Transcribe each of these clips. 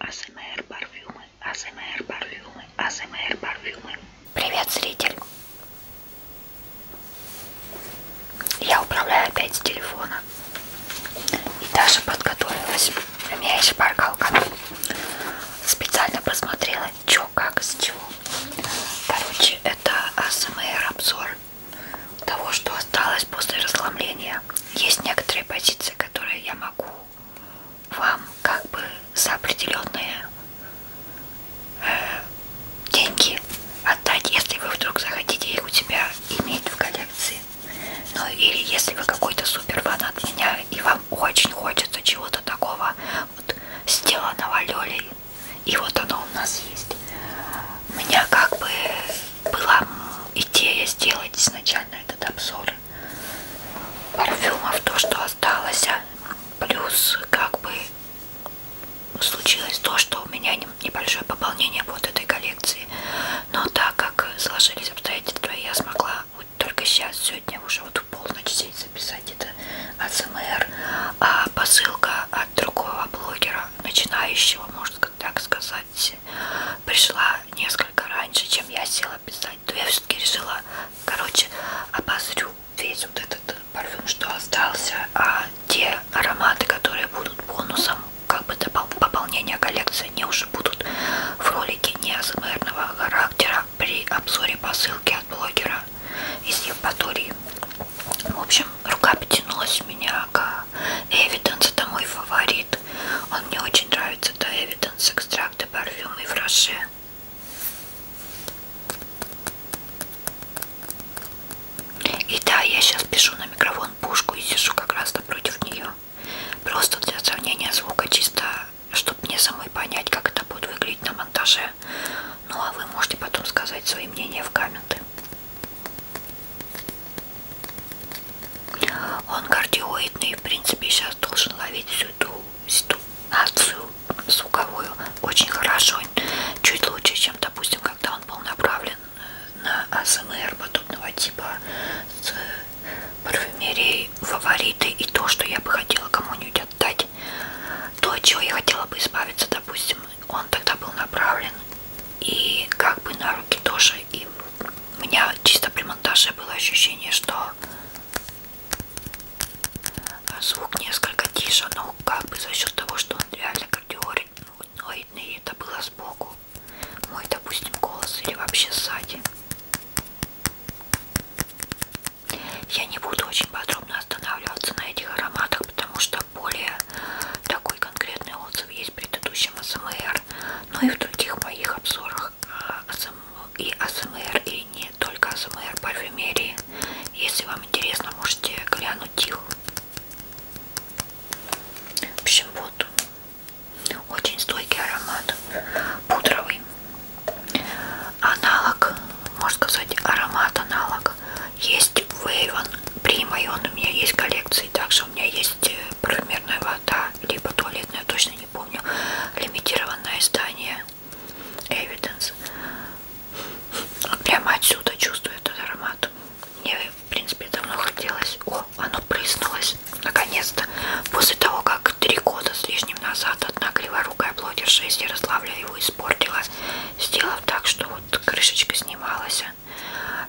АСМР парфюмы, АСМР парфюмы, АСМР парфюмы. Привет, зритель. Я управляю опять с телефона. И даже подготовилась. У меня есть шпаргалка. Специально посмотрела, что, как, с чего. Короче, это АСМР обзор того, что осталось после расслабления. Есть некоторые позиции, которые я могу вам как бы за определенные э, деньги отдать, если вы вдруг захотите их у себя иметь в коллекции. Ну или если вы какой-то супер фан от меня и вам очень хочется чего-то такого вот, сделанного Лёлей. И вот оно у нас есть. У меня как бы была идея сделать изначально этот обзор пар парфюмов, то, что осталось. А? Плюс, как бы, случилось то, что у меня небольшое пополнение вот этой коллекции. Но так как сложились обстоятельства, я смогла вот только сейчас, сегодня уже вот в полночь сесть записать это АСМР. А посылка от другого блогера, начинающего, можно так сказать, писать пришла несколько раньше, чем я села писать, то я все-таки решила, короче, обозрю весь вот этот парфюм, что остался, а те ароматы, которые будут бонусом, как бы пополнения коллекции, они уже будут в ролике не асмерного характера при обзоре по ссылке от блогера из Евпатории. В общем, рука потянулась меня к Эвиденс, это мой фаворит он мне очень нравится, да, Эвиденс, экстракты, парфюмы и фраше. И да, я сейчас пишу на микрофон пушку и сижу как раз напротив нее. Просто для сравнения звука, чисто, чтобы мне самой понять, как это будет выглядеть на монтаже. Ну а вы можете потом сказать свои мнения в комменты. Он кардиоидный, в принципе, сейчас должен ловить всю эту ситуацию звуковую очень хорошо, чуть лучше, чем, допустим, когда он был направлен на АСМР подобного типа с парфюмерией фавориты и то, что я бы хотела кому-нибудь отдать, то, от чего я хотела бы избавиться, допустим, он тогда был направлен и как бы на руки тоже, и у меня чисто при монтаже было ощущение, что звук несколько тише, но как бы за счет того, что он реально кардиоидный, и это было сбоку. Мой, допустим, голос или вообще сзади. Я не буду очень подробно останавливаться на этих ароматах, потому что более такой конкретный отзыв есть в предыдущем СМР но ну и в других моих обзорах э, и АСМР, и не только АСМР парфюмерии. Если вам интересно, можете глянуть их. В общем, вот. Очень стойкий аромат. Пудровый. Аналог, можно сказать, аромат аналог. Есть Вейвен Прима, и он у меня есть в коллекции. Также у меня есть э, парфюмерная вода либо туалетную, точно не помню, лимитированное издание Evidence. Прямо отсюда чувствую этот аромат. Мне, в принципе, давно хотелось. О, оно прыснулось. Наконец-то. После того, как три года с лишним назад одна криворукая блогерша из Ярославля его испортила, сделав так, что вот крышечка снималась.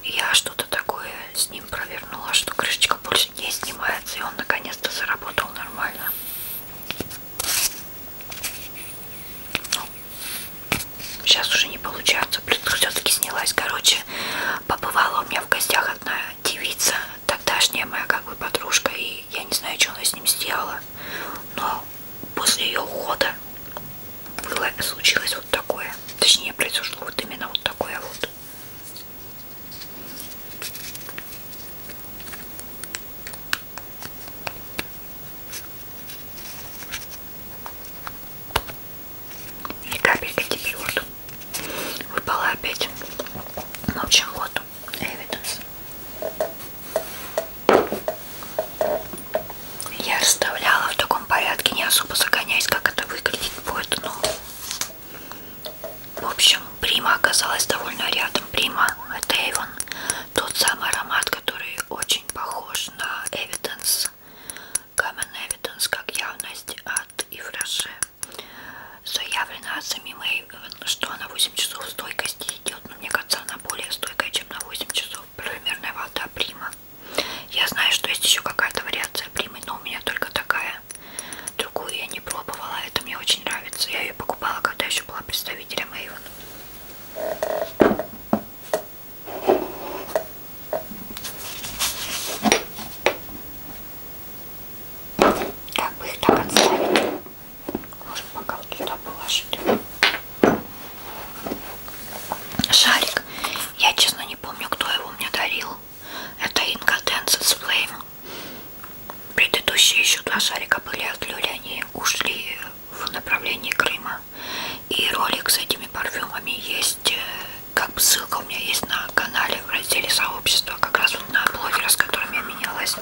Я что-то такое снимала ним провернула, что крышечка больше не снимается, и он наконец-то заработал нормально. Ну, сейчас уже не получается, плюс все-таки снялась. Короче, побывала у меня в гостях одна девица, тогдашняя моя как бы подружка, и я не знаю, что она с ним сделала, но после ее ухода было случилось вот такое, точнее произошло вот именно вот такое вот. И капелька теперь вот выпала опять. В общем, вот Эвиденс. Я расставляла в таком порядке, не особо загоняясь, как это выглядеть будет, но в общем, Прима оказалась довольно рядом. Прима это Эйвон. Тот самый аромат, который очень похож на Evidence. Common Evidence как явность от Ивраше. Заявлено от самим Эйвен, что на 8 часов стойкости идет. Но мне кажется, она более стойкая, чем на 8 часов. Примерная вода Прима. Я знаю, что есть еще какая-то вариация Примы, но у меня только такая такая. Другую я не пробовала, а это мне очень нравится. Я ее покупала, когда еще была представителем Avon. Как бы их так отставить? Может, пока вот туда положить. Шарик. Я, честно, не помню, кто его мне дарил. Это Inga Dances Flame. Предыдущие еще два шарика были от Люли, они ушли в направлении Крыма. И ролик с этими парфюмами есть, э, как бы ссылка у меня есть на канале в разделе сообщества, как раз вот на блогера, с которым я менялась.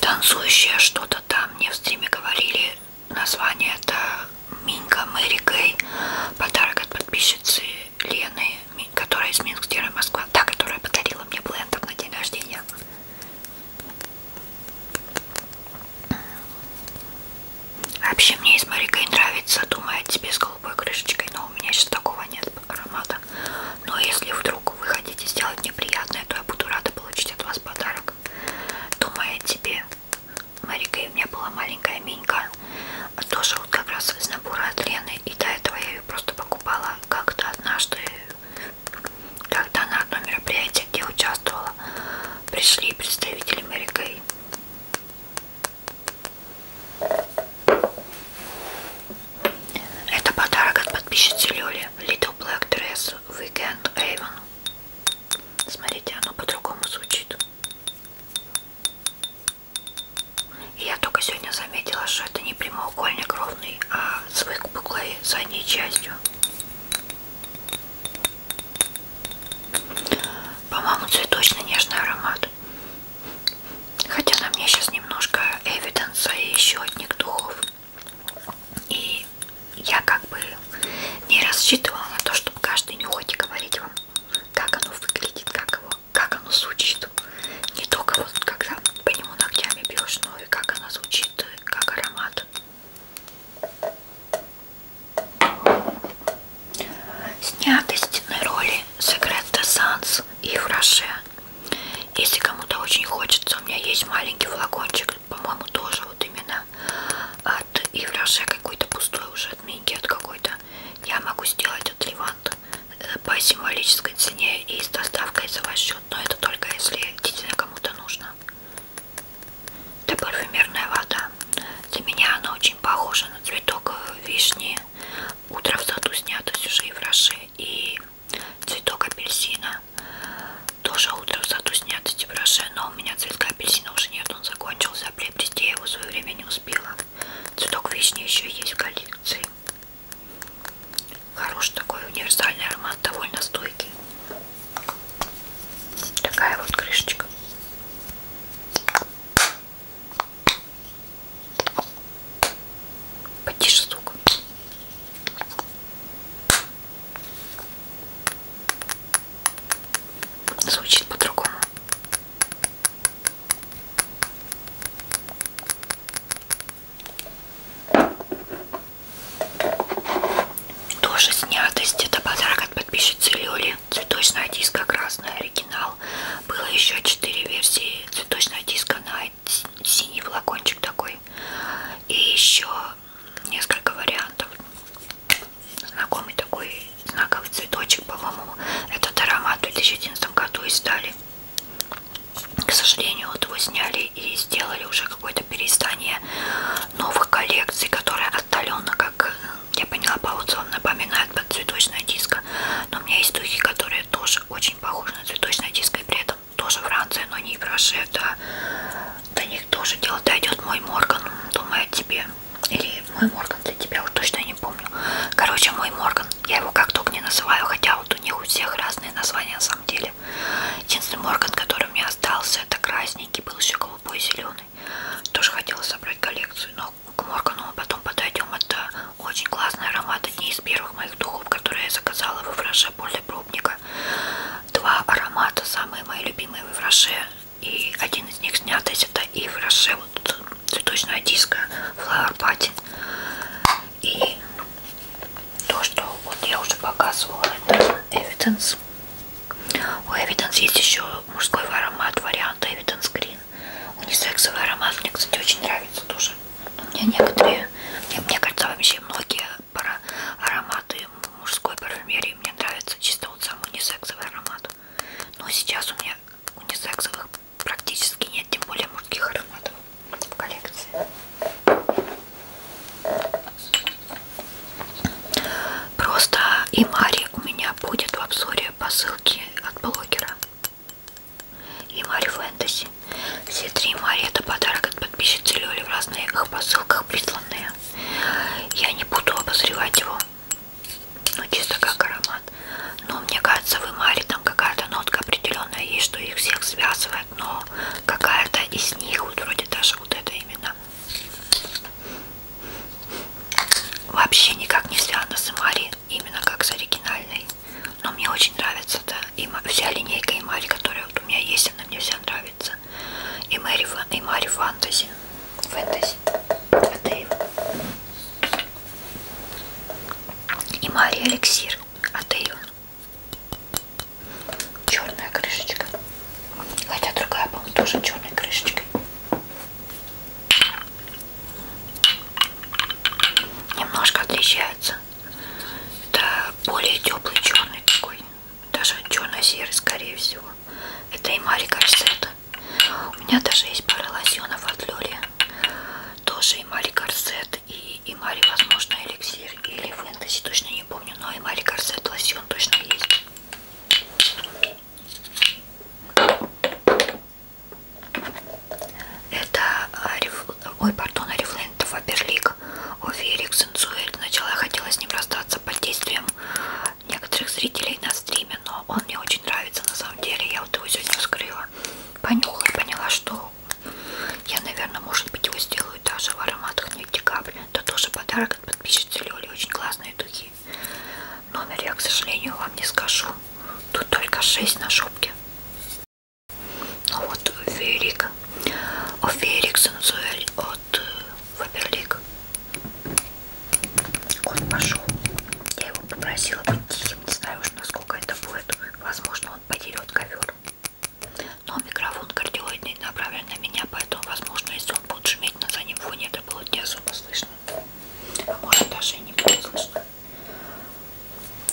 Танцующее что-то там мне в стриме говорили. Название это Минка Мэри Гэй. Подарок от подписчицы Лены, которая из Минск, Москва. Та, которая подарила мне блендер на день рождения. Вообще мне из Марикой нравится, думаю, тебе с голубой крышечкой, но у меня сейчас такого нет аромата. Но если вдруг вы хотите сделать мне приятное, то я буду рада получить от вас подарок. Думаю, тебе, Марикой, у меня была маленькая минька, тоже вот как раз из набора от Лены, и до этого я ее просто покупала как-то однажды когда на одно мероприятие, где участвовала, пришли представители Мэри Кей. Это подарок от подписчицы Лёли Little Black Dress Weekend Raven. Смотрите, оно по-другому звучит. И я только сегодня заметила, что это не прямоугольник ровный, а с выпуклой задней частью. По-моему, цветочный нежный аромат. Хотя на мне сейчас немножко Эвиденса и еще одних духов. И я как бы не рассчитывала на то, чтобы каждый нюхать и говорить вам, как оно выглядит, как, его, как оно звучит. Не только вот когда по нему ногтями бьешь, но и как оно звучит, как аромат. Сняты стены роли Секрет де Санс и Фраше. Если кому-то очень хочется, у меня есть маленький флакончик, по-моему, тоже вот именно от Ивраше какой-то пустой уже от Минки, от какой-то. Я могу сделать от Левант по символической цене и с доставкой за ваш счет, но это только если действительно кому-то нужно. Это парфюмерная вода. Для меня она очень похожа на цветок вишни. Утро в саду снято сюжет в Роше. И цветок апельсина. Тоже утро в саду снято типа, в Роше, но у меня цветка апельсина уже нет. Он закончился, а приобрести я его в свое время не успела. Цветок вишни еще есть в коллекции. Хороший такой универсальный аромат, довольно стойкий. Такая вот крышечка. Потише звук. Звучит по-другому. Тоже снятость. Это подарок от подписчицы Лёли. Цветочная диска красная, оригинал. Было еще 4 версии. Цветочная диска на синий флакончик такой. И еще несколько вариантов. Знакомый такой знаковый цветочек, по-моему. Этот аромат в 2011 году издали. К сожалению, вот его сняли и сделали уже какое-то переиздание новых коллекций, которые отдаленно, как я поняла по отзывам, напоминают под цветочное диско. Но у меня есть духи, которые тоже очень похожи на цветочное диско, и при этом тоже Франция, но не Браше, да. До них тоже дело дойдет мой Морган, думаю о тебе. Или мой Морган для тебя, уж точно не помню. Короче, мой Морган, я его как только не называю, хотя вот у них у всех разные названия на самом деле. Единственный орган, который у меня остался, это красненький, был еще голубой и зеленый. Тоже хотела собрать коллекцию, но к Моргану мы потом подойдем. Это очень классный аромат, одни из первых моих духов, которые я заказала во фраше Поле Пробника. Два аромата, самые мои любимые во фраше, и один из них снят, это и фраше, вот цветочная диска Flower Party. И то, что вот я уже показывала, это Evidence. У Evidence есть еще мужской аромат, вариант Evidence Green. Унисексовый аромат мне, кстати, очень нравится тоже. Но ну, у меня некоторые, мне, мне кажется, вообще многие пара, ароматы мужской парфюмерии мне нравятся чисто вот сам унисексовый аромат. Но сейчас у меня унисексовых практически нет, тем более мужских ароматов в коллекции. Просто и Мари у меня будет в обзоре по ссылке от блогера. И Мари Фэнтези. Все три Мари это подарок от подписчицы Лёли в разных посылках присланные. Я не буду обозревать его. Ну, чисто как аромат. Но мне кажется, в Мари там какая-то нотка определенная есть, что их всех связывает. Но какая-то из них, вот вроде даже вот это именно связано. Вообще никак не связано с Мари, именно как с оригинальной. Но мне очень нравится, да, и вся линейка и Мари, которая вот у меня есть, она мне вся нравится. И Мэри, и Мари Фантази. Фэнтези. Атеев. И Мари Эликсир. Атеева. Черная крышечка. Хотя другая, по-моему, тоже черной крышечкой. Немножко отличается. Это более теплый черный такой. Даже черно-серый, скорее всего. Это и Мари Корсета. У меня даже есть пара лосьонов от Лёли. Тоже и Мари Корсет, и, и Мари, возможно, эликсир, или фэнтези, точно не помню, но и Мари Корсет лосьон точно есть. Это, а, ой, пардон, Арифлейн, это Фаберлик, Офи Эриксон Цуэль. Сначала я хотела с ним расстаться под действием некоторых зрителей на стриме, но он мне очень нравится на самом деле. Я вот его сегодня вскрыла, понюхала и поняла, что я, наверное, может быть, его сделаю даже в ароматах нефтекапли то тоже подарок от подписчицы Лёли. Очень классные духи. Номер я, к сожалению, вам не скажу. Тут только 6 на шубке. Ну вот Ферик. О Ферик Сензуэль от Фаберлик. Э, он пошел. Я его попросила быть тихим. Не знаю уж, насколько это будет. Возможно, он подерет ковер. Но микрофон кардиоидный направлен на меня, поэтому, возможно, если он будет шуметь на заднем фоне, это было не особо слышно. А может, даже и не будет слышно.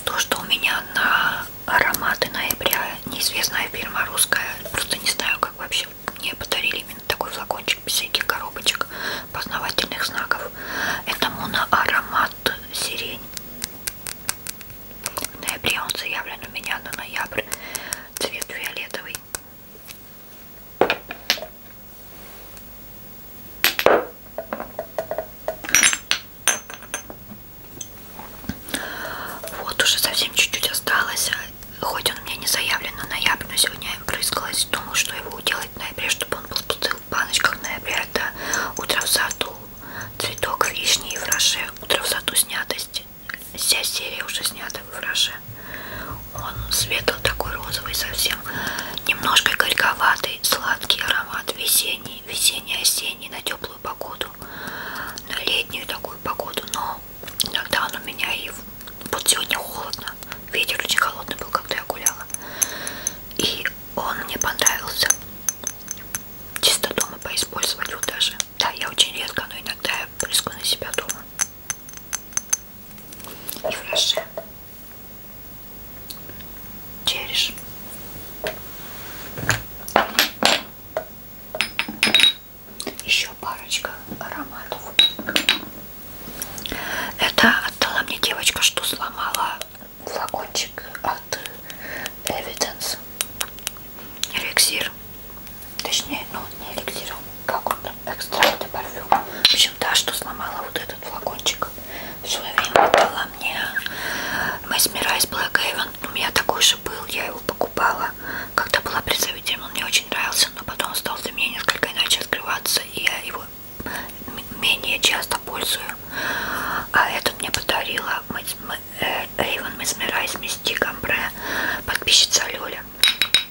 То, что у меня на ароматы ноября неизвестная фирма русская, просто не знаю, как вообще мне подарили именно такой флакончик без всяких коробочек познавательных знаков. Это моноаромат сирень. В ноябре он заявлен у меня на ноябрь. Цвет фиолетовый. Вот уже совсем чуть-чуть осталось. Хоть он мне не заявлен на ноябрь, но сегодня я прыскалась. Думаю, что его делать в ноябре, чтобы он был в пустых баночках в ноябре. Это утро в саду, цветок вишни и фраше, утро в саду снятости вся серия уже снята в Роже. Он светлый такой розовый совсем, немножко горьковатый, сладкий аромат, весенний, весенний-осенний, на теплую погоду, на летнюю такую погоду, но иногда он у меня и... Вот сегодня холодно, ветер очень холодный был, когда я гуляла, и он мне понравился, чисто дома поиспользовать его даже. Да, я очень редко, но иногда я брызгаю на себя дома. И фреше. Череш. Еще парочка ароматов. Это отдала мне девочка, что сломала флакончик от Evidence эликсир. Точнее, ну не эликсир, а как он там, экстракт и парфюм. В общем, да, что сломала вот этот флакончик. В свое время отдала мне Mesmerize Black Haven. У меня такой же был, я его покупала. Когда была представителем, он мне очень нравился, но потом он стал для меня несколько иначе открываться, и я его менее часто пользую. А этот мне подарила Эйвен Месмерайз Мисти Камбре, подписчица Лёля.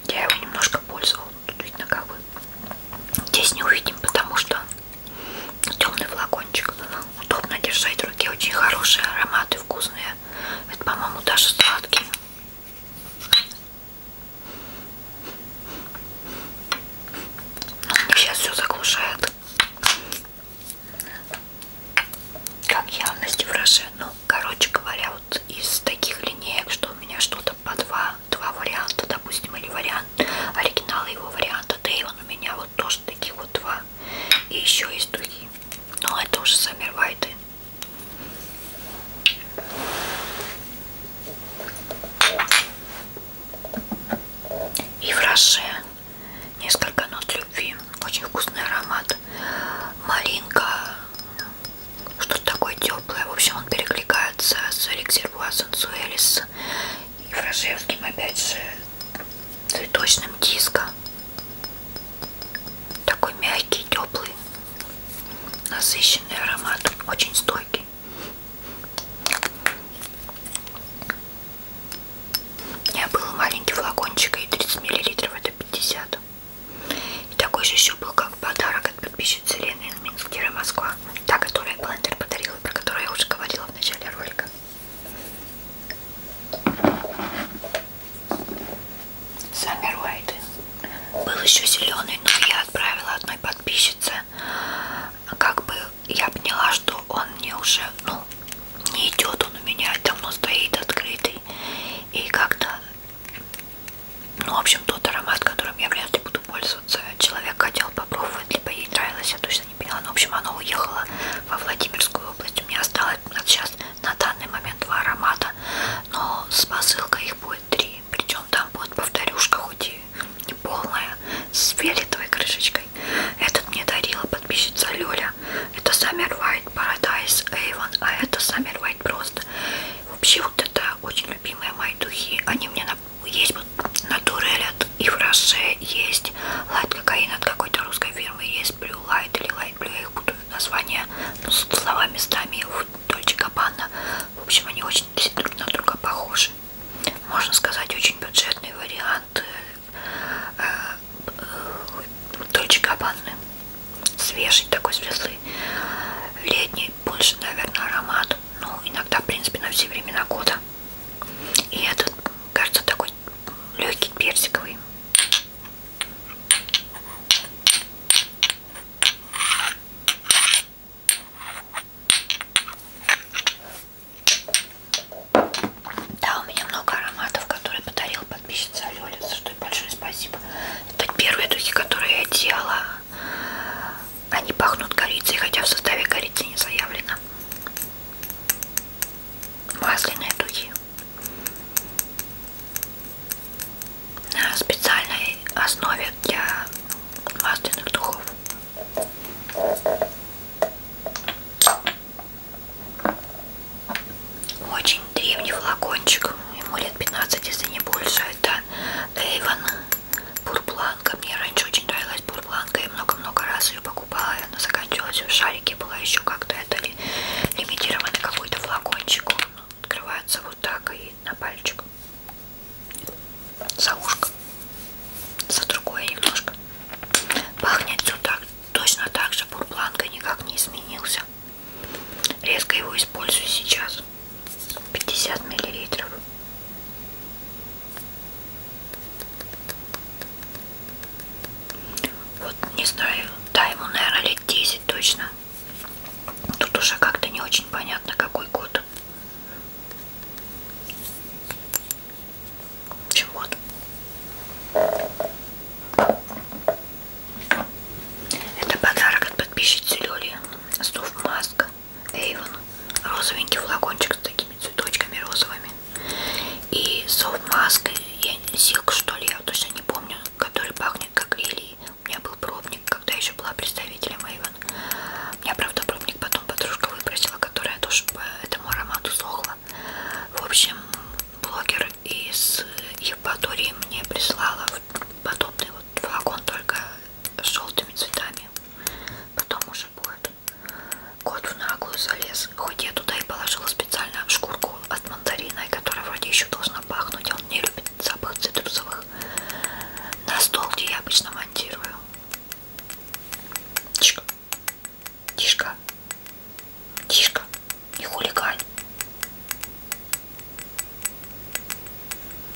Я его немножко пользовала, тут видно как бы. Здесь не увидим, потому что темный флакончик. Удобно держать в руке, очень хорошие ароматы, вкусные. Это, по-моему, даже сладкие. Ну, сейчас все заглушает как явности выражения. Ну, короче говоря, вот из таких линеек, что у меня что-то по два, два варианта, допустим, или вариант оригинала его варианта, да и он у меня вот тоже таких вот два. И еще есть духи. Но это уже сами вайты. И в Роше несколько нот любви, очень вкусный аромат, малинка, что-то такое теплое. В общем, он перекликается с Эликсирбуа Сансуэлис и фрашевским, опять же, цветочным диско. Такой мягкий, теплый, насыщенный аромат, очень стойкий. У меня был маленький флакончик и 30 миллилитров, это 50. И такой же еще был как подарок от подписчицы Лены из Минска, Москва. Та, которая блендер подарила, про которую я уже говорила в начале ролика. Саммер Уайт. Был еще зеленый, но я отправила одной подписчице. Как бы я поняла, что он мне уже, ну, не идет он у меня, давно стоит открытый. И как-то, ну, в общем, тот аромат, которым я вряд ли буду пользоваться, человек хотел попробовать, либо ей нравилось, я точно не поняла. Но, ну, в общем, она уехала во Владимирскую область. У меня осталось сейчас на данный момент два аромата, но с посылкой их будет три. Причем там будет повторюшка, хоть и не полная, с фиолетовой крышечкой хороший. Этот мне дарила подписчица Лёля. Это Summer White Paradise Avon, а это Summer White просто. Вообще вот это очень любимые мои духи. Они мне на... есть вот натурель от Ивраше, есть лайт кокаин от какой-то русской фирмы, есть Blue Light или Light Blue, я их буду название ну, с словами местами в Дольче Габбана. В общем, они очень друг на друга похожи. Можно сказать, очень бюджетный вариант Э, Дольче Габбаны. Свежий такой, светлый. Летний, больше, наверное, аромат. Ну, иногда, в принципе, на все времена года. И этот, кажется, такой легкий персиковый. Да, у меня много ароматов, которые подарил подписчица Лёля, за что большое спасибо. Это первые духи, которые я делала. Они пахнут корицей, хотя в составе корицы не заявлено. Масляные духи. На специальной основе для масляных духов. Очень древний флакончик, ему лет 15, если не больше. Это Эйвен Бурбланка. Мне раньше очень нравилась Бурбланка, я много-много раз ее покупала, и она заканчивалась в шарике, была еще как-то это ли, лимитировано какой-то флакончик. Он открывается вот так и на пальчик. За ушко. За другое немножко. Пахнет все так Точно так же бурбланка никак не изменился. Резко его использую сейчас. 50 миллилитров. Вот не знаю, да, ему, наверное, лет 10 точно. Тут уже как-то не очень понятно, какой год. В общем, вот. Это подарок от подписчицы Лёли. Софт Маск Эйвен. Розовенький флакончик с такими цветочками розовыми. И софт Маск Силк, что ли, я точно не помню, который пахнет как лилии. У меня был пробник, когда я еще была представителем Эйвен. У меня, правда, пробник потом подружка выбросила, которая тоже по этому аромату сохла. В общем, блогер из Евпатории мне прислала подобный вот вагон только с желтыми цветами. Потом уже будет кот в наглую залез. Хоть я туда и положила специально шкурку от мандарина, которая вроде еще должна пахнуть, а он не любит запах цитрусовых. На стол, где я обычно монтирую. Чик. Тишка. Тишка. Не хулигань.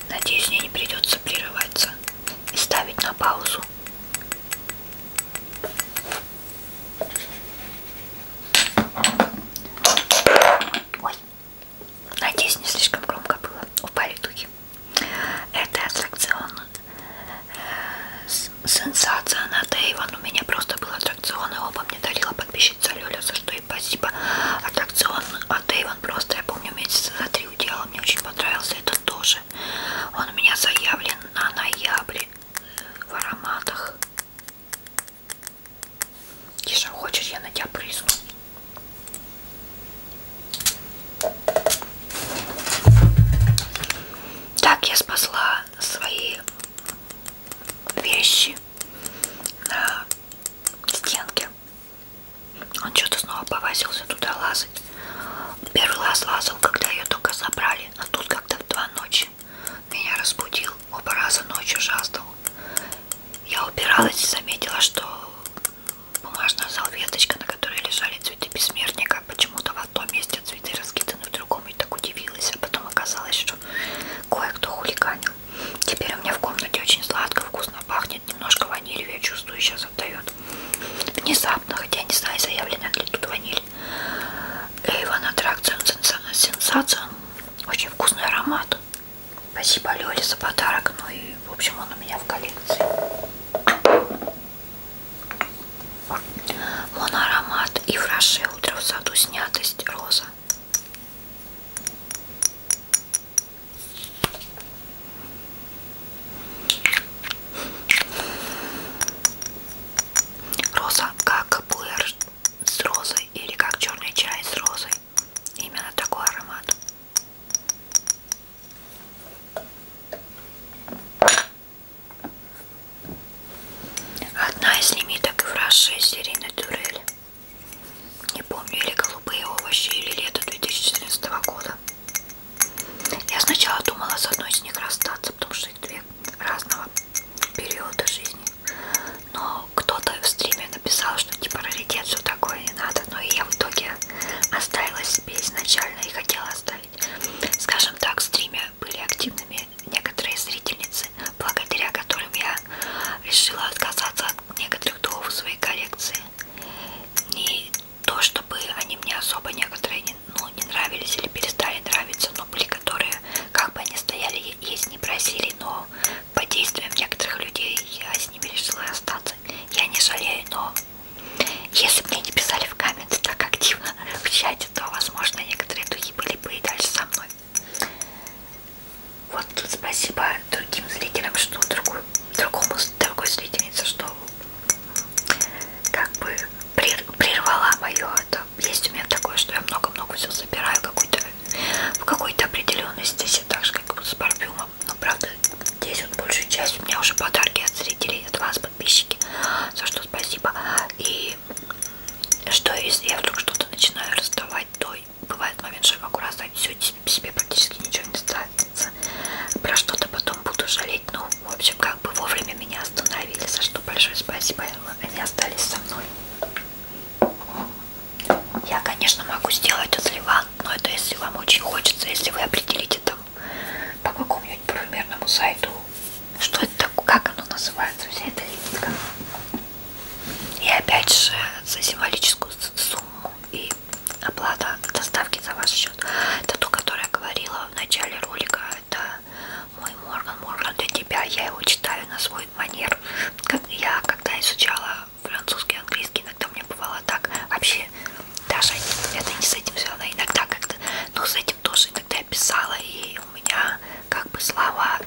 Надеюсь, мне не придется прерываться и ставить на паузу. Ой, надеюсь, не слишком громко было. Упали духи. Это аттракцион Сенсация на Дэйван. У меня просто был аттракцион, и оба мне дарила подписчица Лёля, за что и спасибо. Аттракцион от Дэйван просто, я помню, месяца за три удела. Мне очень понравился этот тоже. Он у меня заявлен на ноябрь э, в ароматах. Киша, хочешь, я на тебя призну? Так, я спасла свои вещи на стенке. Он что-то снова повозился туда лазать. Первый раз лазал, когда ее только забрали, а тут как-то в два ночи меня разбудил, оба раза ночью жаждал. Я упиралась и заметила, что бумажная салфеточка, на которой лежали цветы бессмертника, почему-то в одном месте цветы раскиданы, в другом и так удивилась, а потом оказалось, что кое-кто хулиганил. Теперь у меня в комнате очень сладко, вкусно пахнет, немножко ванилью, я чувствую, сейчас отдает. Внезапно, хотя не знаю, заявлена ли тут ваниль. Эйвен Аттракцион Сенсация, очень вкусный аромат. Спасибо Лёле за подарок, ну и в общем он у меня в коллекции. Мон аромат и в раше утро в саду снятость роза. Роза как пуэр с розой или как черный чай с розой. Именно такой аромат. Одна из лимиток в Раше серийной турели. Не помню, или голубые овощи, или лето 2014 года. Я сначала думала с одной из них расстаться, потому что их две разного периода жизни. Но кто-то в стриме написал, что типа раритет, все такое не надо. Но и я в итоге оставила себе изначально и хотела оставить. Скажем так, в стриме были активными некоторые зрительницы, благодаря которым я решила отказаться от некоторых духов своей коллекции. Не то, чтобы они мне особо некоторые не, ну, не нравились или перестали нравиться, но были которые, как бы они стояли, есть не просили, но по действиям некоторых людей я с ними решила остаться. Я не жалею, но если мне не писали в комменты так активно в чате, то, возможно, некоторые духи были бы и дальше со мной. Вот тут спасибо другим зрителям, что другой, другому, другой зрительнице, что как бы прервала мое это. Есть у меня такое, что я много-много все забираю какой-то, в какой-то определенной стези, так же, как с парфюмом. Но, правда, здесь вот большую часть у меня уже подарки от зрителей, от вас, подписчики, за что спасибо. И что если я вдруг что-то начинаю раздавать, то бывает момент, что я могу раздать все, себе практически ничего не останется. Про что-то потом буду жалеть. Ну, в общем, как бы вовремя меня остановили, за что большое спасибо. Они остались со мной. Я, конечно, могу сделать отливан, но это если вам очень хочется, если вы определите там по какому-нибудь парфюмерному сайту. Что это такое? Как оно называется? Вся эта линейка. И опять же за символическую сумму и оплата доставки за ваш счет. Это то, которое я говорила в начале ролика. Это мой Морган. Морган для тебя. Я его читаю на свой манер. Как я, когда изучала французский, английский, иногда мне бывало так. Вообще, даже это не с этим связано. Иногда как-то, но ну, с этим тоже тогда писала, и у меня как бы слова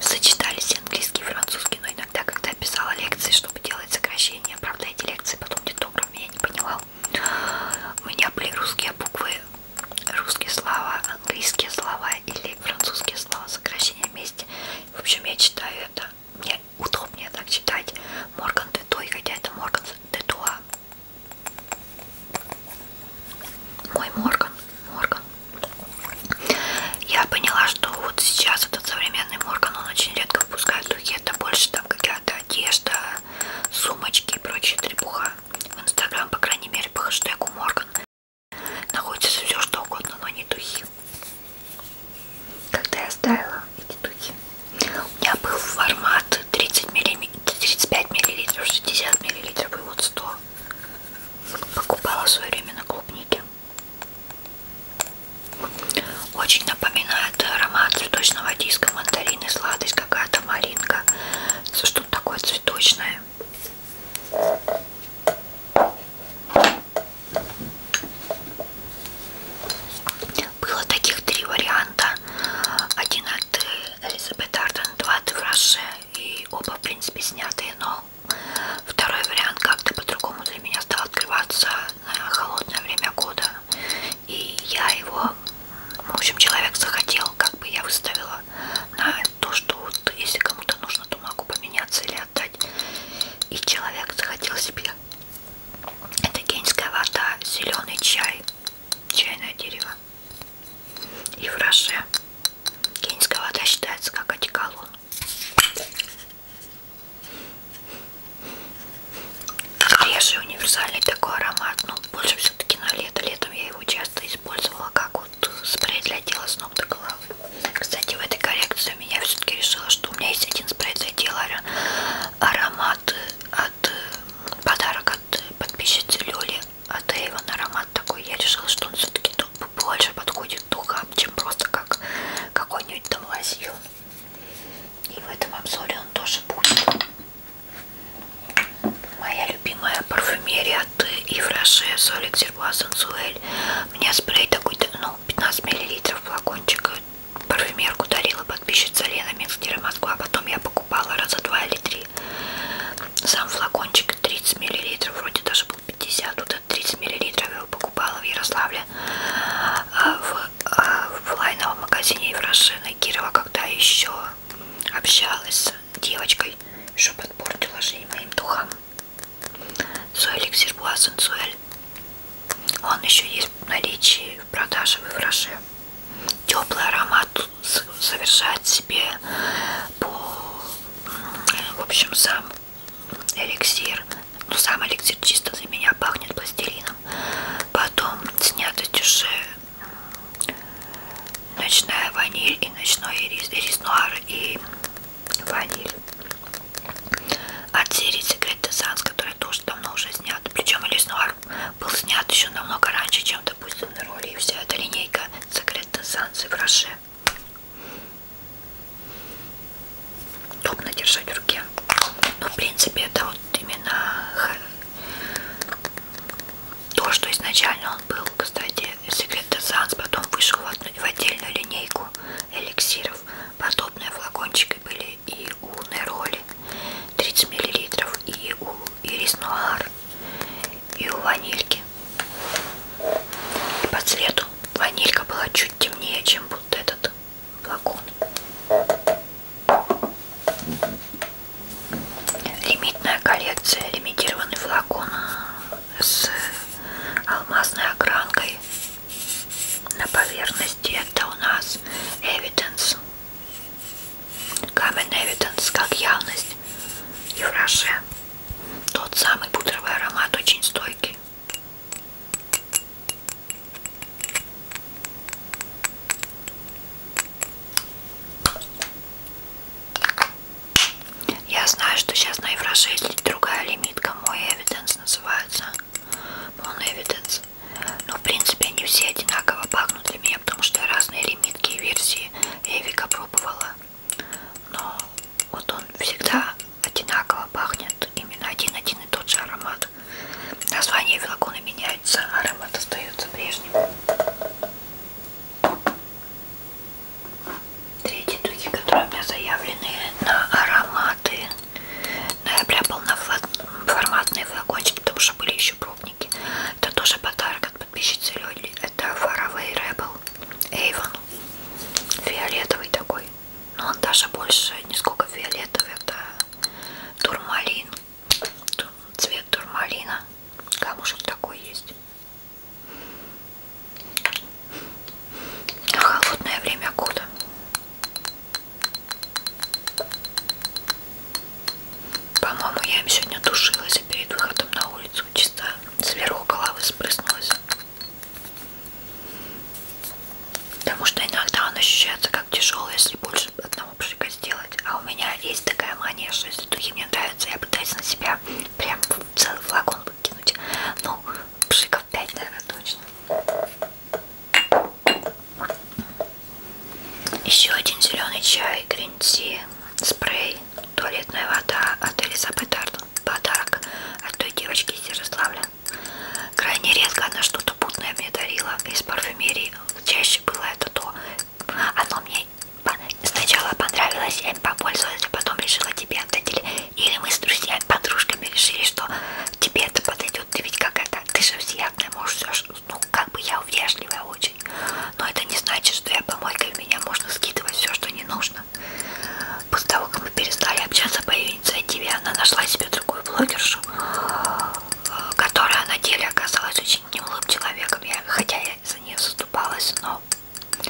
сочетались английский и французский, но иногда, когда писала лекции, чтобы делать сокращения, правда, эти лекции потом детограмме я не понимал, у меня были русские буквы, русские слова, английские слова или французские слова, сокращения вместе. В общем, я читаю это, мне удобнее так читать Морган Детуа, хотя это Морган Детуа, мой Морган, Морган. Я поняла, что вот сейчас этот современный Морган, он очень редко выпускает духи. Это больше там какая-то одежда, сумочки и прочая трепуха. В Инстаграм, по крайней мере, по хэштегу Морган находится все что угодно, но не духи. Когда я ставила эти духи, у меня был формат 30 миллим... 35 миллилитров, 60 миллилитров и вот 100. Покупала в свое время на клубнике. Очень напоминает аромат цветочного диска, мандарины, сладость какая-то, маринка. Что-то такое цветочное. Было таких три варианта. Один от Элизабет Арден, два в Раше, и оба, в принципе, снятые, но второй вариант как-то по-другому для меня стал открываться на холодное время года, и я его, в общем, человек захотел, как бы я выставила на то, что вот, если кому-то нужно, то могу поменяться или отдать, и человек захотел себе. Это кенийская вода, зеленый чай, чайное дерево. И в Роше Кенийская вода считается как одеколон. Реже универсальный такой аромат, но ну, больше все-таки на лето. Летом я его часто использовала как вот спрей для тела с ног до головы. Кстати, в этой коррекции меня все-таки решила, что у меня есть один спрей для тела аромат от э, подарок от э, подписчицы Люли от Эйвен аромат такой. Я решила, что он все-таки больше подходит духам, чем просто как какой-нибудь там лазил. И в этом обзоре он тоже будет. Моя любимая парфюмерия от Ивраше Солик Зерба Сансуэль. У меня спрей такой, ну, 15 мл флакончик парфюмерку дарила подписчица Лена Минстера Москва, потом я покупала раза два или три. Сам флакончик 30 мл, вроде даже был 50, тут 30 мл я его покупала в Ярославле а, в, а, в лайновом магазине Еврошина Кирова, когда еще общалась с девочкой, еще подпортила жизнь моим духам. Суэль Эксербуа Сенсуэль. Он еще есть в наличии в продаже в Евроше теплый аромат совершает себе по в общем сам эликсир ну сам эликсир чисто за меня пахнет пластилином потом снятость уже ночная ваниль и ночной ирис, ирис нуар и ваниль от серии секрет десанс который тоже давно уже снят причем ирис нуар был снят еще намного раньше, чем, допустим, на роли и вся эта линейка секретной санкций в Роше. Удобно держать в руке. Но, ну, в принципе, это вот именно то, что изначально он был, кстати, секрет Санс, потом вышел в отдельную линейку эликсиров. Подобные флакончики были и у Нероли 30 мл и у Ирис Нуар и у ванильки и по цвету ванилька была чуть темнее, чем вот этот флакон лимитная коллекция лимитированный флакон а, с алмазной огранкой на поверхности это у нас Evidence Common Evidence как явность Евраше. Тот самый пудровый аромат очень стойкий. Я знаю, что сейчас на Евраше есть другая лимитка. Мой Evidence называется. Мон Evidence. Но в принципе они все одинаково пахнут для меня, потому что разные лимитки и версии я Эвика пробовала. Но вот он всегда одинаково пахнет, именно один-один и тот же аромат. Название велокона меняется, а аромат остается прежним. Третьи духи, которые у меня заявлены на ароматы но я прям полноформатный флакончик, потому что были еще пробники. Это тоже подарок от подписчицы Лёли. Это Faraway Rebel Avon. Фиолетовый такой. Но ну, он даже больше не сколько фиолетовый. Это турмалин. Цвет турмалина. Камушек такой есть. А холодное время года. По-моему, я им сегодня тушилась, а перед выходом на улицу чисто сверху головы спрыснулась. Потому что иногда он ощущается как тяжелый, если больше одного пшика сделать. А у меня есть такая мания, что если духи мне нравятся, я пытаюсь на себя прям целый флакон выкинуть. Ну, пшиков 5, наверное, точно. Еще один зеленый чай, гринти, спрей, туалетная вода от Элизабет Арден. Подарок от той девочки из Ярославля. Крайне редко она что-то путное мне дарила из парфюмерии. Чаще было это то. Оно мне сначала понравилось, я им попользовалась, а потом решила тебе отдать. Или мы с друзьями, подружками решили, что тебе это подойдет идет. Ты ведь как это, ты же всеядная, можешь все, ну как бы я вежливая очень. Но это не значит, что я помойка, в меня можно скидывать все, что не нужно. После того, как мы перестали общаться по ее инициативе, она нашла себе другую блогершу, которая на деле оказалась очень немилым человеком. Я, хотя я за нее заступалась, но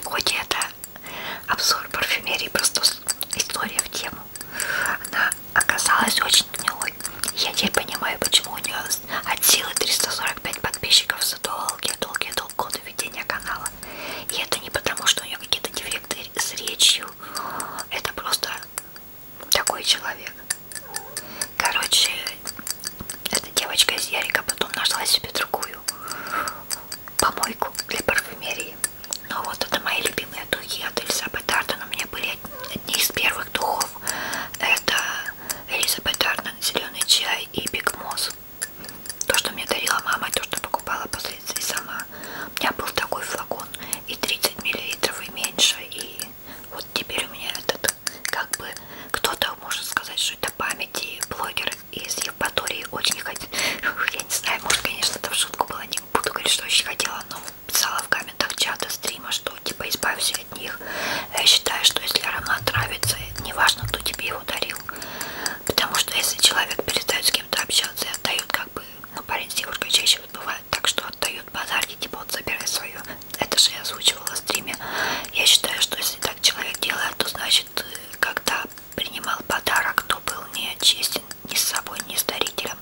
хоть это обзор парфюмерии, просто история в тему. Она оказалась очень гнилой. Я теперь понимаю, почему у нее от силы 345 подписчиков за долгие-долгие-долгие годы ведения канала. И это не потому, что у нее какие-то дефекты с речью. Это просто такой человек. Короче, эта девочка из Ярика потом нашла себе другую помойку для парфюмерии. Но ну вот это мои любимые духи от Эльзабет Арден. У меня были одни из первых духов это Элизабет Арнон, зеленый чай и Биг Мосс. То, что мне дарила мама, и то, что покупала впоследствии сама. У меня был такой флакон и 30 миллилитров и меньше. И вот теперь у меня этот, как бы, кто-то может сказать, что это память и блогер из Евпатории очень хотел. Я не знаю, может, конечно, это в шутку было, не буду говорить, что очень хотела, но писала в комментах чата стрима, что типа избавься от них. Я считаю, что если аромат нравится, неважно, кто тебе его дарил. Потому что если человек перестает с кем-то общаться и отдает как бы, ну парень с девушкой чаще вот бывает так, что отдают базарки, типа вот забирай свою. Это же я озвучивала в стриме. Я считаю, что если так человек делает, то значит, э, когда принимал подарок, то был не честен ни с собой, ни с дарителем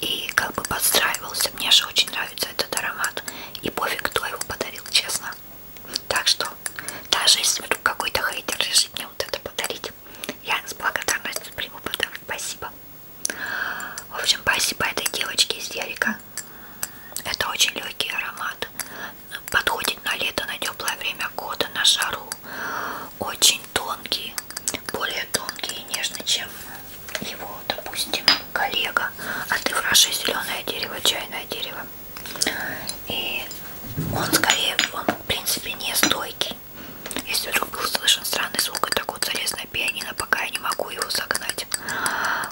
и как бы подстраивался. Мне же очень нравится этот аромат. И пофиг, кто его подарил, честно. Так что, даже если вдруг какой-то хейтер решит мне вот это подарить, я с благодарностью приму подарок. Спасибо. В общем, спасибо этой девочке из Ярика. Это очень легкий аромат. Подходит на лето, на теплое время года, на жару. Очень тонкий, более тонкий и нежный, чем его, допустим, коллега, а ты враши зеленое дерево, чайное дерево. И он скорее, он в принципе не стойкий. Если вдруг был слышен странный звук, и так вот залез на пианино, пока я не могу его загнать.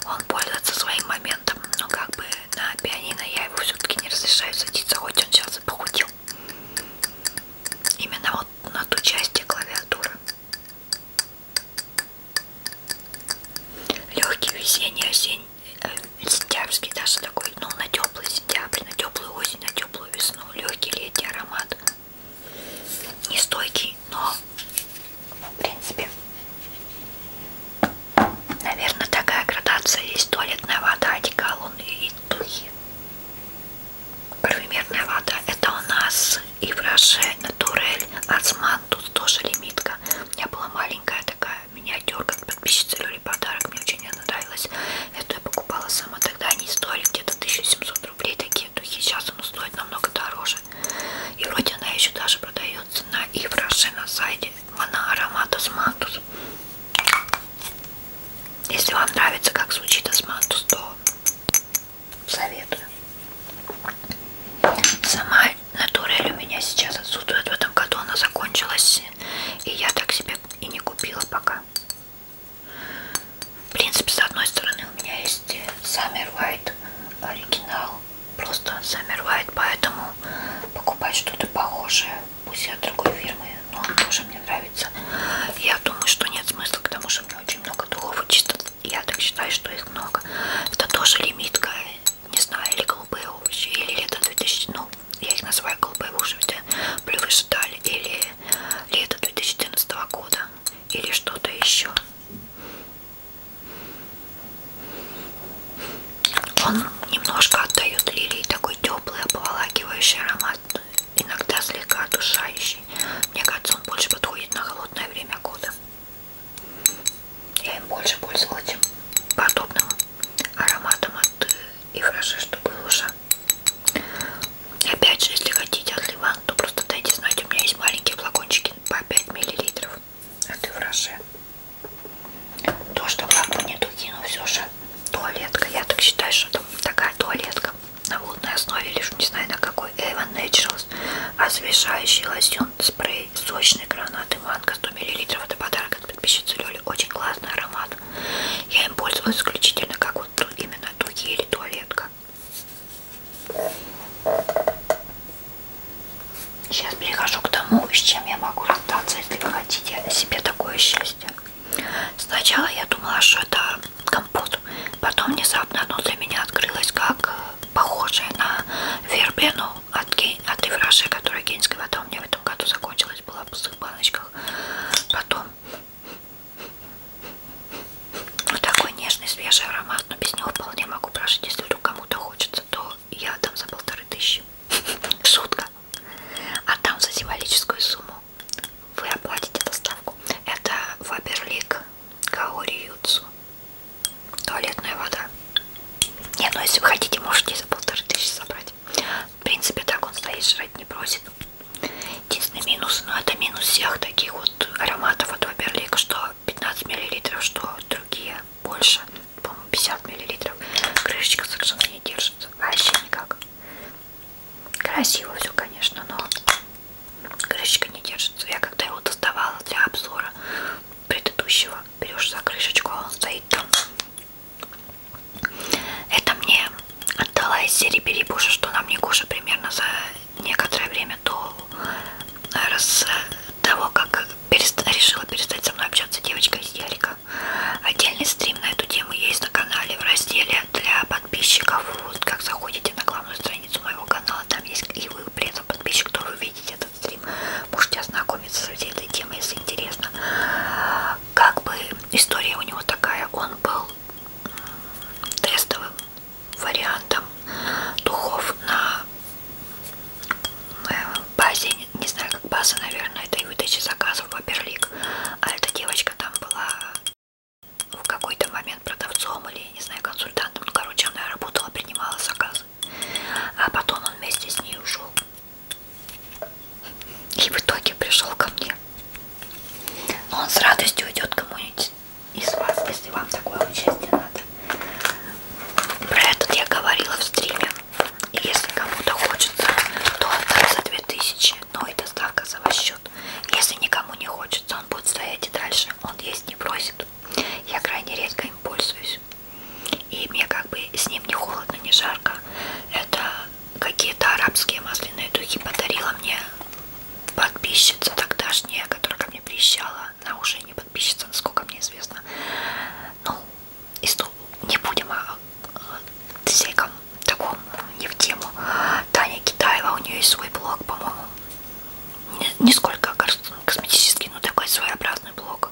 Он пользуется своим моментом, но как бы на пианино я его все-таки не разрешаю садиться, хоть он сейчас и похудел. Именно вот на ту часть клавиатуры. Легкий весенний, осенний, э, сентябрьский даже такой, ну на теплый сентябрь, на теплую осень, на теплую весну, легкий летний аромат, нестойкий, но в принципе, наверное, такая градация есть туалетная вода, одеколон и духи. Парфюмерная вода. Это у нас и в Роше, Натурель, Осман. Тут тоже лимитка. У меня была маленькая такая миниатюрка. Подписчица Люли подарок. Мне очень она нравилась. Эту я покупала сама. Тогда они стоили где-то 1700 рублей такие духи. Сейчас она стоит намного дороже. И вроде она еще даже продается на и в Роше на сайте. Она аромат Османтус. Если вам нравится, как звучит османтус, то советую. Сама натурель у меня сейчас отсутствует. В этом году она закончилась. И я так себе и не купила пока. В принципе, с одной стороны у меня есть Summer White оригинал. Просто Summer White, поэтому покупать что-то похожее, пусть и от другой фирмы, но он тоже мне нравится. Я думаю, что нет смысла, к тому же не очень много духов, чисто я так считаю, что их много. Это тоже лимитка, не знаю, или голубые овощи, или лето 2000, ну, я их называю голубые овощи, плюс ждали, или лето 2014 года, или что-то еще. Он немножко отдает лилии такой теплый, обволакивающий аромат иногда слегка отдушающий. Мне кажется, он больше подходит на холодное время года. Я им больше пользовалась, чем подобным ароматом от э, и хорошо, что был уже. Опять же, если хотите от Ливан, то просто дайте знать, у меня есть маленькие флакончики по 5 мл от Ивраше. То, что в флаконе духи, но все же туалетка. Я так считаю, что там такая туалетка на водной основе лишь не знаю на какой Avon Naturals освежающий лосьон спрей сочный гранат и манго 100 мл это подарок от подписчицы Лёли очень классный аромат я им пользовалась исключительно как вот именно духи или туалетка сейчас перехожу к тому с чем я могу расстаться если вы хотите себе такое счастье сначала я думала что это компот. Потом внезапно оно для меня открылось как э, похожее на вербену от, гей... от Ивраши, которая генская вода у меня в этом году закончилась, была в пустых баночках. Потом вот такой нежный свежий аромат, но без него вполне могу прожить, если вдруг кому-то хочется, то я отдам за полторы тысячи. Шутка. Отдам за символическую сумму вы оплатите доставку. Это Фаберлик Гаори Юцу. Туалетная вода. Не, ну если вы хотите, можете за полторы тысячи собрать. В принципе, так он стоит, жрать не просит. Единственный минус, но ну, это минус всех таких вот ароматов от Фаберлик, что 15 мл, что другие больше, по-моему, 50 мл. Крышечка совершенно не держится, вообще никак. Красиво все, конечно, но крышечка не держится. Я когда его доставала для обзора предыдущего, берешь за крышечку, а он стоит там. Это мне отдала из серии перебуша, что нам не куша примерно за некоторое время до э, раз э, того, как перест... решила перестать со мной общаться девочка из Ярика. Отдельный стрим на эту тему есть на канале в разделе для подписчиков. Вот как заходите на главную страницу моего канала, там есть и вы, пресса подписчик, кто вы видите этот стрим. Можете ознакомиться со всей этой темой, если интересно. Как бы история у него такая, он был тестовым вариантом духов на э, базе, не знаю, как база, наверное, это и выдача заказов в Баберлик. А эта девочка там была в какой-то момент продавцом или, я не знаю, консультантом. Ну, короче, она работала, принимала заказы. А потом он вместе с ней ушел. И в итоге пришел ко мне. Но он с радостью уйдет кому-нибудь из вас, если вам такое участие надо. Про этот я говорила в стриме. И если кому-то хочется, то отдам за 2000 но и доставка за ваш счет. Если никому не хочется, он будет стоять и дальше, он есть не просит. Я крайне редко им пользуюсь. И мне как бы с ним не холодно, не жарко. Это какие-то арабские масляные духи подарила мне подписчица тогдашняя, которая ко мне приезжала. Она уже не подписчица, насколько мне известно. Ну, не будем а, всей таком не в тему. Таня Китаева, у нее есть свой блог, по-моему. Не, не сколько косметический, но ну, такой своеобразный блог.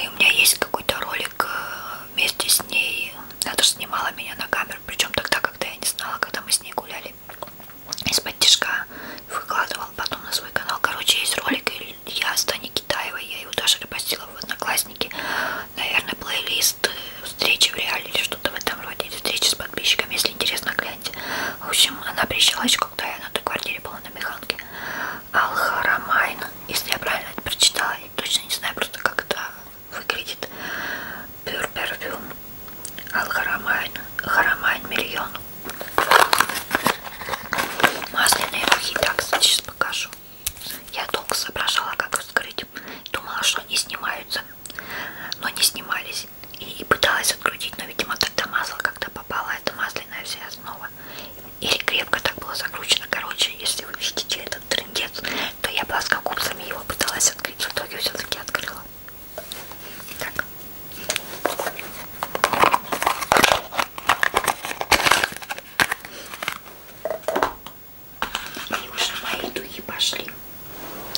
И у меня есть какой-то ролик э, вместе с ней. Она тоже снимала меня на камеру, причем тогда, когда я не знала, когда мы с ней гуляли из-под тяжка. Выкладывала потом на свой канал. Короче, есть ролик, я с Таней Китаевой, я его даже репостила в Одноклассники наверное, плейлист э, встречи в реале или что-то в этом роде, или встречи с подписчиками, если интересно, гляньте. В общем, она приезжала еще, когда я на той квартире была на Механке. Алхарамайн, если я правильно это прочитала, я точно не знаю просто, как это выглядит. Pure Perfume, Алхарамайн, Харамайн Миллион. Масляные мухи, так, кстати, сейчас покажу. Я долго соображала, как их вскрыть. Думала, что они снимаются снимаются, но не снимались. И, и пыталась открутить, но, видимо, тогда масло как-то попало, это масляная вся основа. Или крепко так было закручено. Короче, если вы видите этот трендец, то я плоскогубцами его пыталась открыть, в итоге все-таки открыла. Так. И уже мои духи пошли.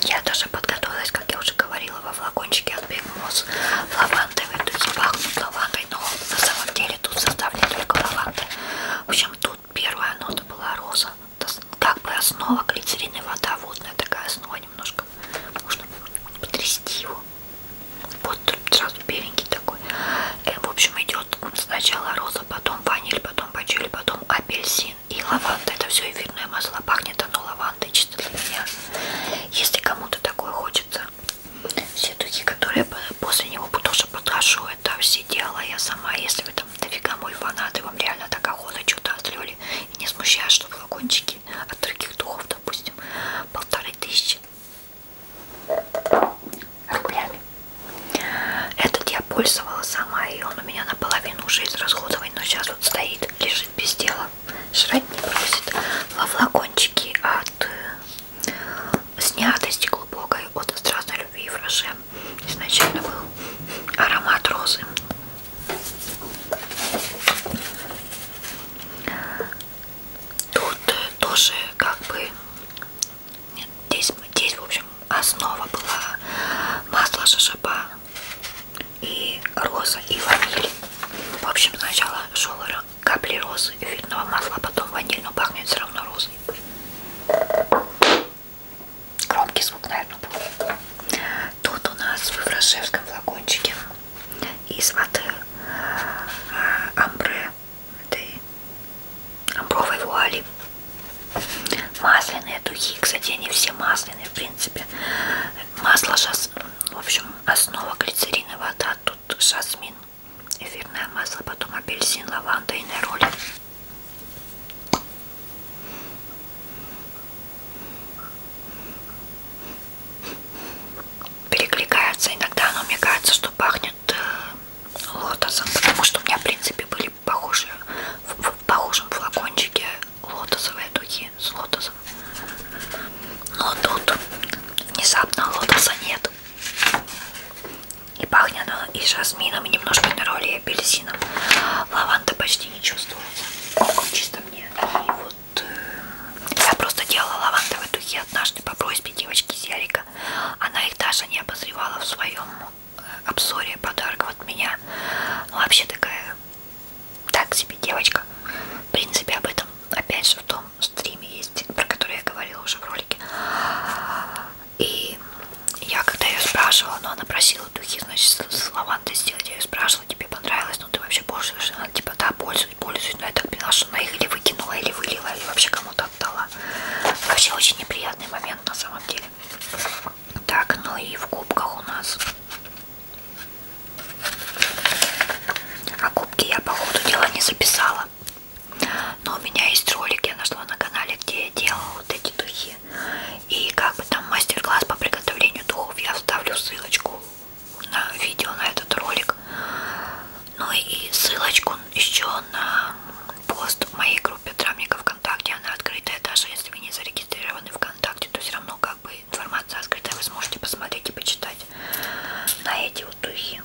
Я даже подготовилась, как я уже говорила, во флакончике от Big Moss. Лавандовые духи пахнут лавандой, но на самом деле тут составлен только лаванда. В общем, тут первая нота была роза. Как бы основа глицерин и вода, водная такая основа немножко. Можно потрясти его. Вот тут сразу беленький такой. И, э, в общем, идет сначала роза, потом ваниль, потом пачель, потом апельсин и, и лаванда. Это все эфирное масло. Пахнет оно лавандой чисто для меня. Если кому-то такое хочется, все духи, которые после него тоже подношу, это все делала я сама. Если вы там дофига мой фанат, и вам реально так охота что-то отлили, и не смущаюсь, что флакончики от других духов, допустим, полторы тысячи рублями. Этот я пользовала сама, и он у меня наполовину уже израсходован, но сейчас вот стоит, лежит без дела. Жрать не просит. Во флакончике от э, снятости глубокой, от страстной любви и фраше. Изначально был аромат розы. Тут тоже как бы нет, здесь, здесь, в общем, основа была масло шашапа и роза и ваниль. В общем, сначала шел капли розы и винного масла, а потом ваниль, но пахнет все равно розой. Громкий звук, наверное, был. Тут у нас в Иврашевском флакончике из воды э, амбре этой бровой вуали. Масляные духи, кстати, они все масляные, в принципе. Масло шас... в общем, основа глицерина, вода, тут жасмин, эфирное масло, потом апельсин, лаванда и нероли. Перекликается. Иногда оно, мне кажется, что пахнет э, лотосом, потому что у меня, в принципе, были похожи, в, в похожем флакончике лотосовые духи с лотосом. Но тут внезапно лотоса нет. И пахнет оно и жасмином, и немножко нероли, и апельсином. Лаванда почти не чувствуется. Чисто мне. И вот э, я просто делала лавандовые духи однажды по просьбе девочки Зерика. Она их даже не обозревала в своем обзоре подарков от меня. Вообще такая, так себе девочка. В принципе, об этом опять же в том стриме есть, про который я говорила уже в ролике. И я когда ее спрашивала, но ну, она просила духи, значит, с лавандой сделать. Я ее спрашивала, тебе понравилось, ну ты вообще пользуешься? Она типа, да, пользуюсь, пользуюсь. Но я так поняла, что она их или выкинула, или вылила, или вообще кому-то отдала. Вообще очень неприятный момент на самом деле. Так, ну и в кубках у нас. А кубки я по ходу дела не записала. Но у меня есть ролик, я нашла на канале, где я делала вот эти духи. И как бы там мастер-класс по приготовлению духов. Я вставлю ссылочку на видео, на этот ролик. Ну и ссылочку еще на пост в моей группе Травника ВКонтакте, она открытая, даже если вы не зарегистрированы ВКонтакте, то все равно как бы информация открытая, вы сможете посмотреть и почитать на эти вот духи.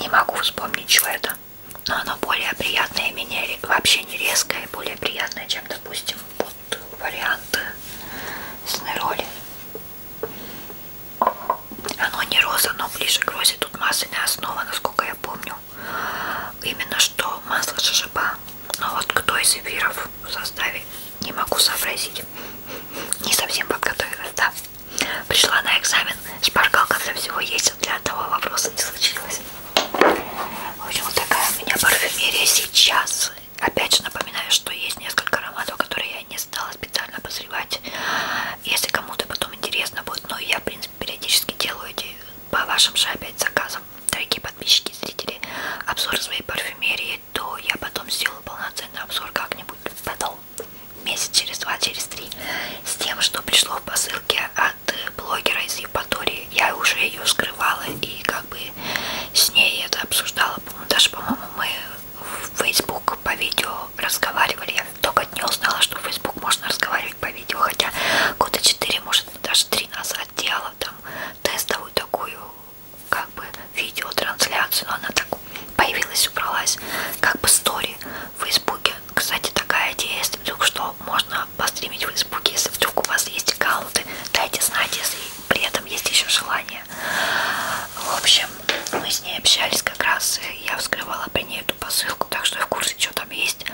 Не могу вспомнить, чего это, но оно более приятное и менее вообще не резкое, более приятное, чем, допустим, вот варианты снероли. Оно не роза, но ближе к розе. Тут масляная основа, насколько я помню. Именно что масло шишипа. Но вот кто из эфиров в составе, не могу сообразить. Не совсем подготовилась, да. Пришла на экзамен, шпаргалка для всего есть, а для одного вопроса не случилось. В общем, вот такая у меня парфюмерия сейчас. Опять же напоминаю, что есть несколько ароматов, которые я не стала специально обозревать. Если кому-то потом интересно будет, но я, в принципе, периодически делаю эти по вашим же опять заказам, дорогие подписчики, зрители, обзор своей парфюмерии, то я потом сделаю полноценный обзор как-нибудь потом, месяц, через два, через три, с тем, что пришло в посылке от блогера из Евпатории. Я уже ее скрывала и как бы с ней это обсуждала, даже, по-моему, по-моему, мы в Facebook по видео разговаривали. Я только не узнала, что в Facebook можно разговаривать по видео, хотя года 4, может, даже 3 назад делала там тестовую такую, как бы, видеотрансляцию, но она так появилась, убралась, как бы, стори в Фейсбуке. Кстати, такая идея, если вдруг что, можно постримить в Фейсбуке, если вдруг у вас есть аккаунты, дайте знать, если при этом есть еще желание. В общем, мы с ней общались как раз, и я вскрывала при ней эту посылку, так что я в курсе, что там есть.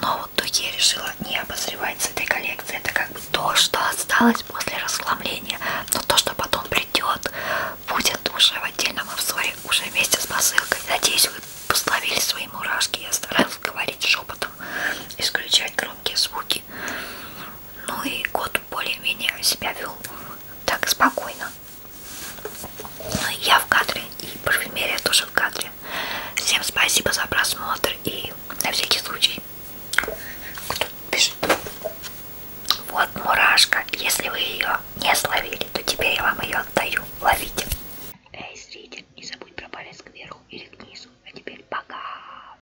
Но вот Дуге решила не обозревать с этой коллекции. Это как бы то, что осталось после расхламления. Но то, что потом придет, будет уже в отдельном обзоре, уже вместе с посылкой. Надеюсь, вы пословили свои мурашки. Я старалась говорить шепотом, исключать громкие звуки. Ну и год более-менее себя вел так спокойно. Я в кадре и парфюмерия тоже в кадре. Всем спасибо за просмотр и на всякий случай. Кто пишет? Вот мурашка. Если вы ее не словили, то теперь я вам ее отдаю. Ловите. Эй, зритель, не забудь про палец кверху или к низу. А теперь пока.